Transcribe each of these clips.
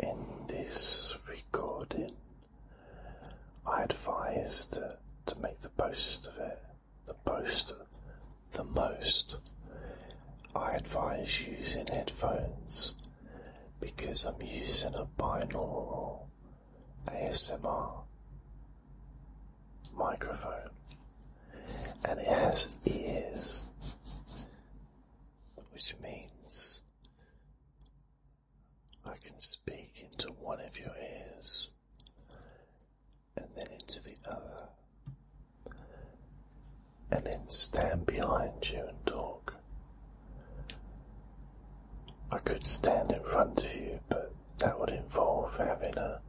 In this recording, I advise that to make the most of it, the most, the most. I advise using headphones because I'm using a binaural ASMR microphone and it has ears which means I can speak into one of your ears and then into the other, and then stand behind you and talk. I could stand in front of you, but that would involve having a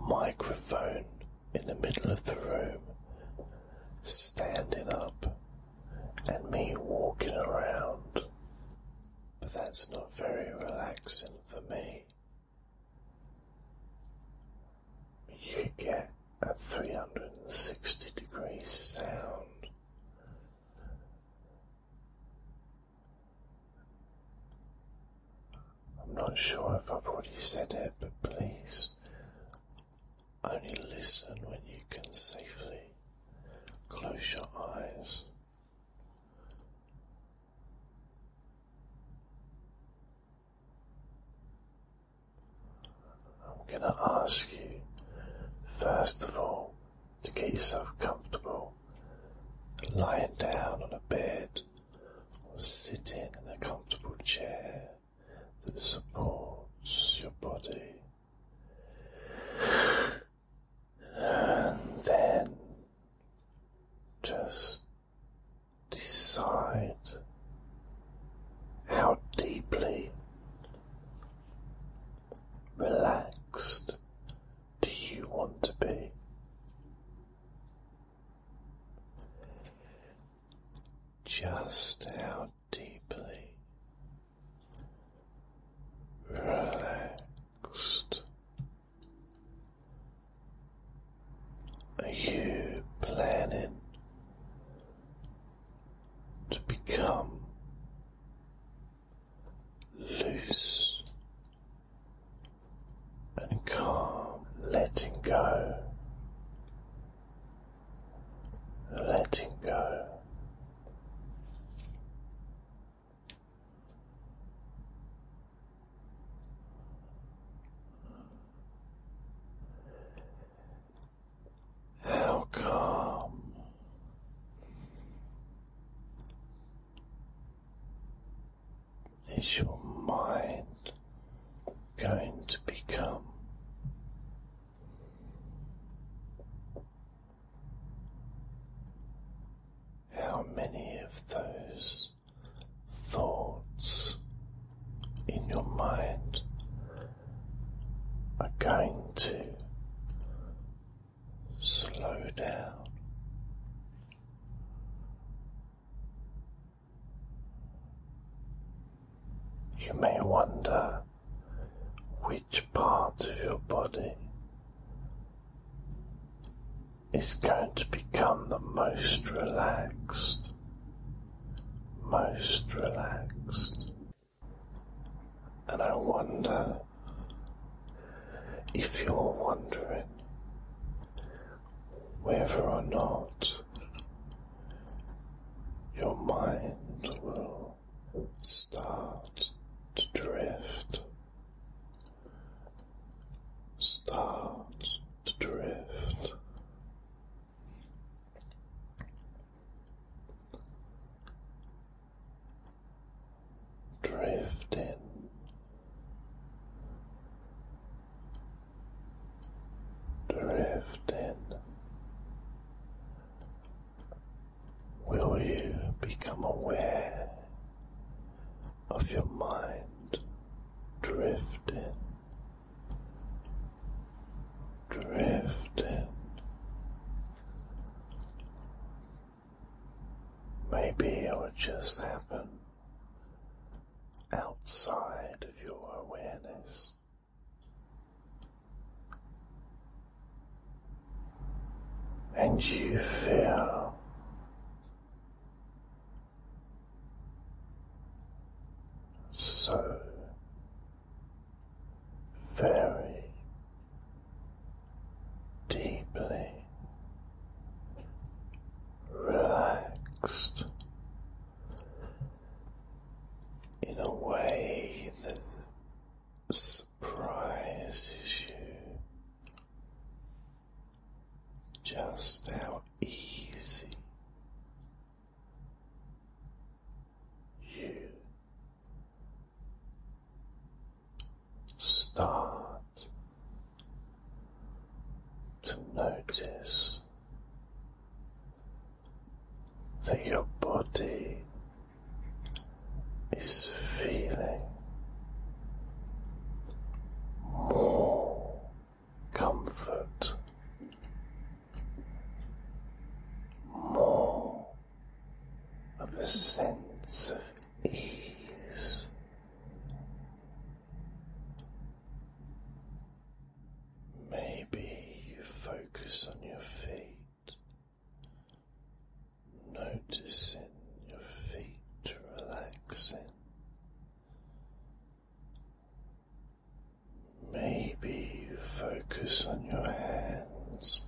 microphone in the middle of the room standing up and me walking around. But that's not very relaxing for me. You get a 360 degree sound. I'm not sure if I've already said it, but please only listen when you can safely. Close your eyes. I'm going to ask you, first of all, to get yourself comfortable lying down on a bed or sitting in a comfortable chair that supports your body. And then just decide how deeply relaxed do you want to be just how deeply relaxed are you planning to become loose and calm, letting go letting go. How calm is your mind going to become? How many of those thoughts in your mind are going to slow down you may wonder which part of your body is going to become the most relaxed, most relaxed. And I wonder if you're wondering whether or not your mind will start to drift, start to drift. Drifting drifting. Will you become aware of your mind drifting, drifting? Maybe it will just happen outside of your awareness. And you feel so very deeply relaxed in a way that surprises you just how easy you start to notice that your body is feeling more comfort, more of a sense of ease. Maybe you focus on your feet, noticing your feet relaxing. Maybe you focus on your hands,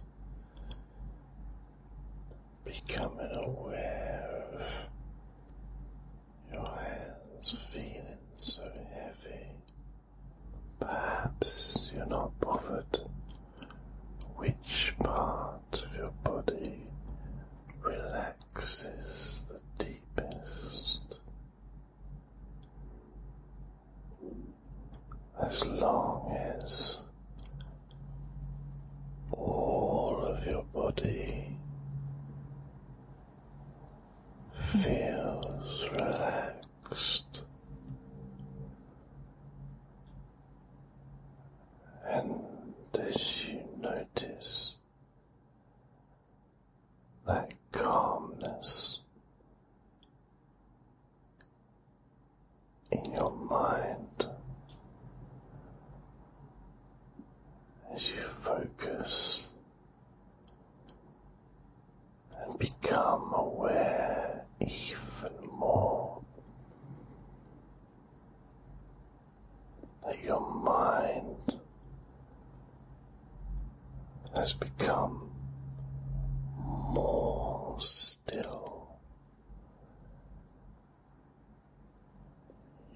becoming aware of your hands feeling so heavy. Perhaps you're not bothered which part of your body relaxes the deepest. As long as all of your body feels relaxed and as you notice that calmness in your mind as you focus and become aware even more that your mind has become more still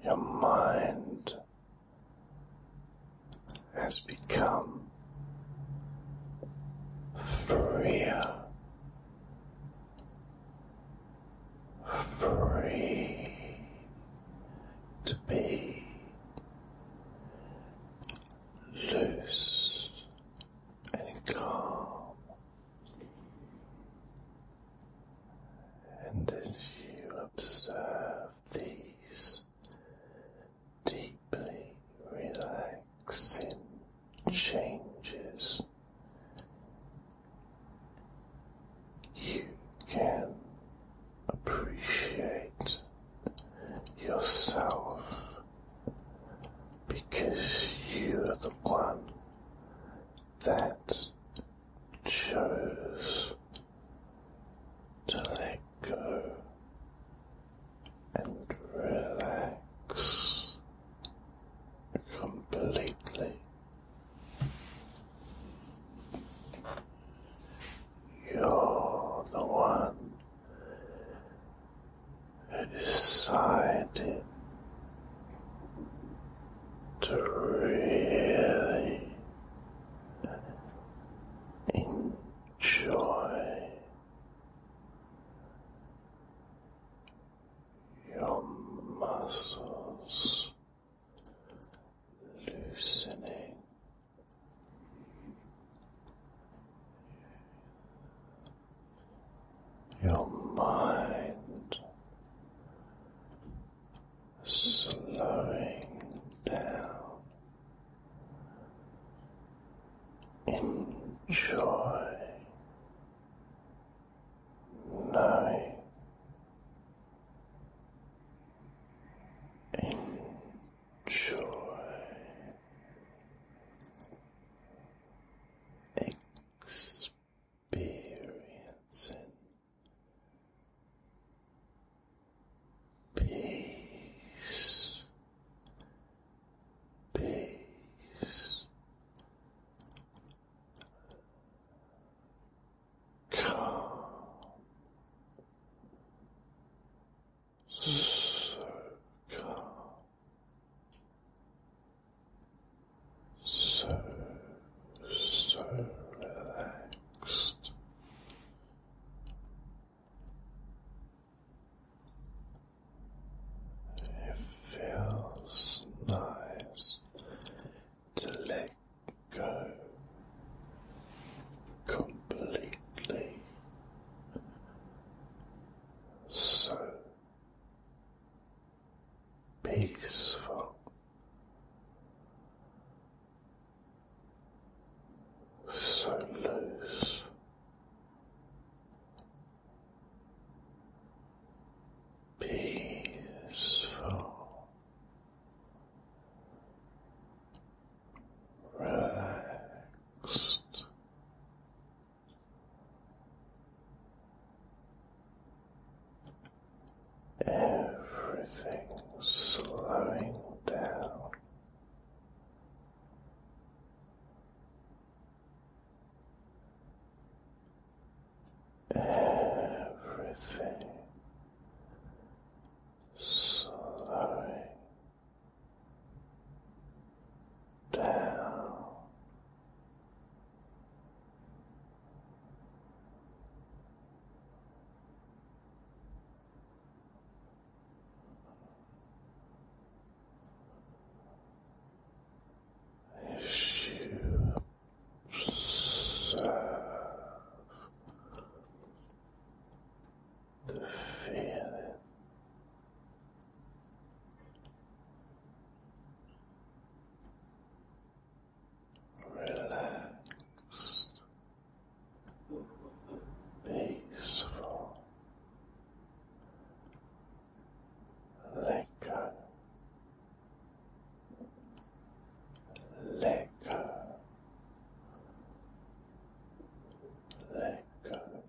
your mind has become freer, free to be loose and calm. And as you observe these deeply relaxing changes, you can appreciate yourself because you are the one that chose to let go and relax completely. You're the one who decided to really enjoy your muscles loosening. Your mind slowing down. Enjoy knowing. Enjoy experience experiencing peace, peace, calm, so calm so, so relaxed. It feels nice to let go completely. So peaceful, so loose. Peaceful, relaxed, everything slowing down. Everything slowing down. As you observe the feeling relaxed, peaceful. Let go. Let go. Let go.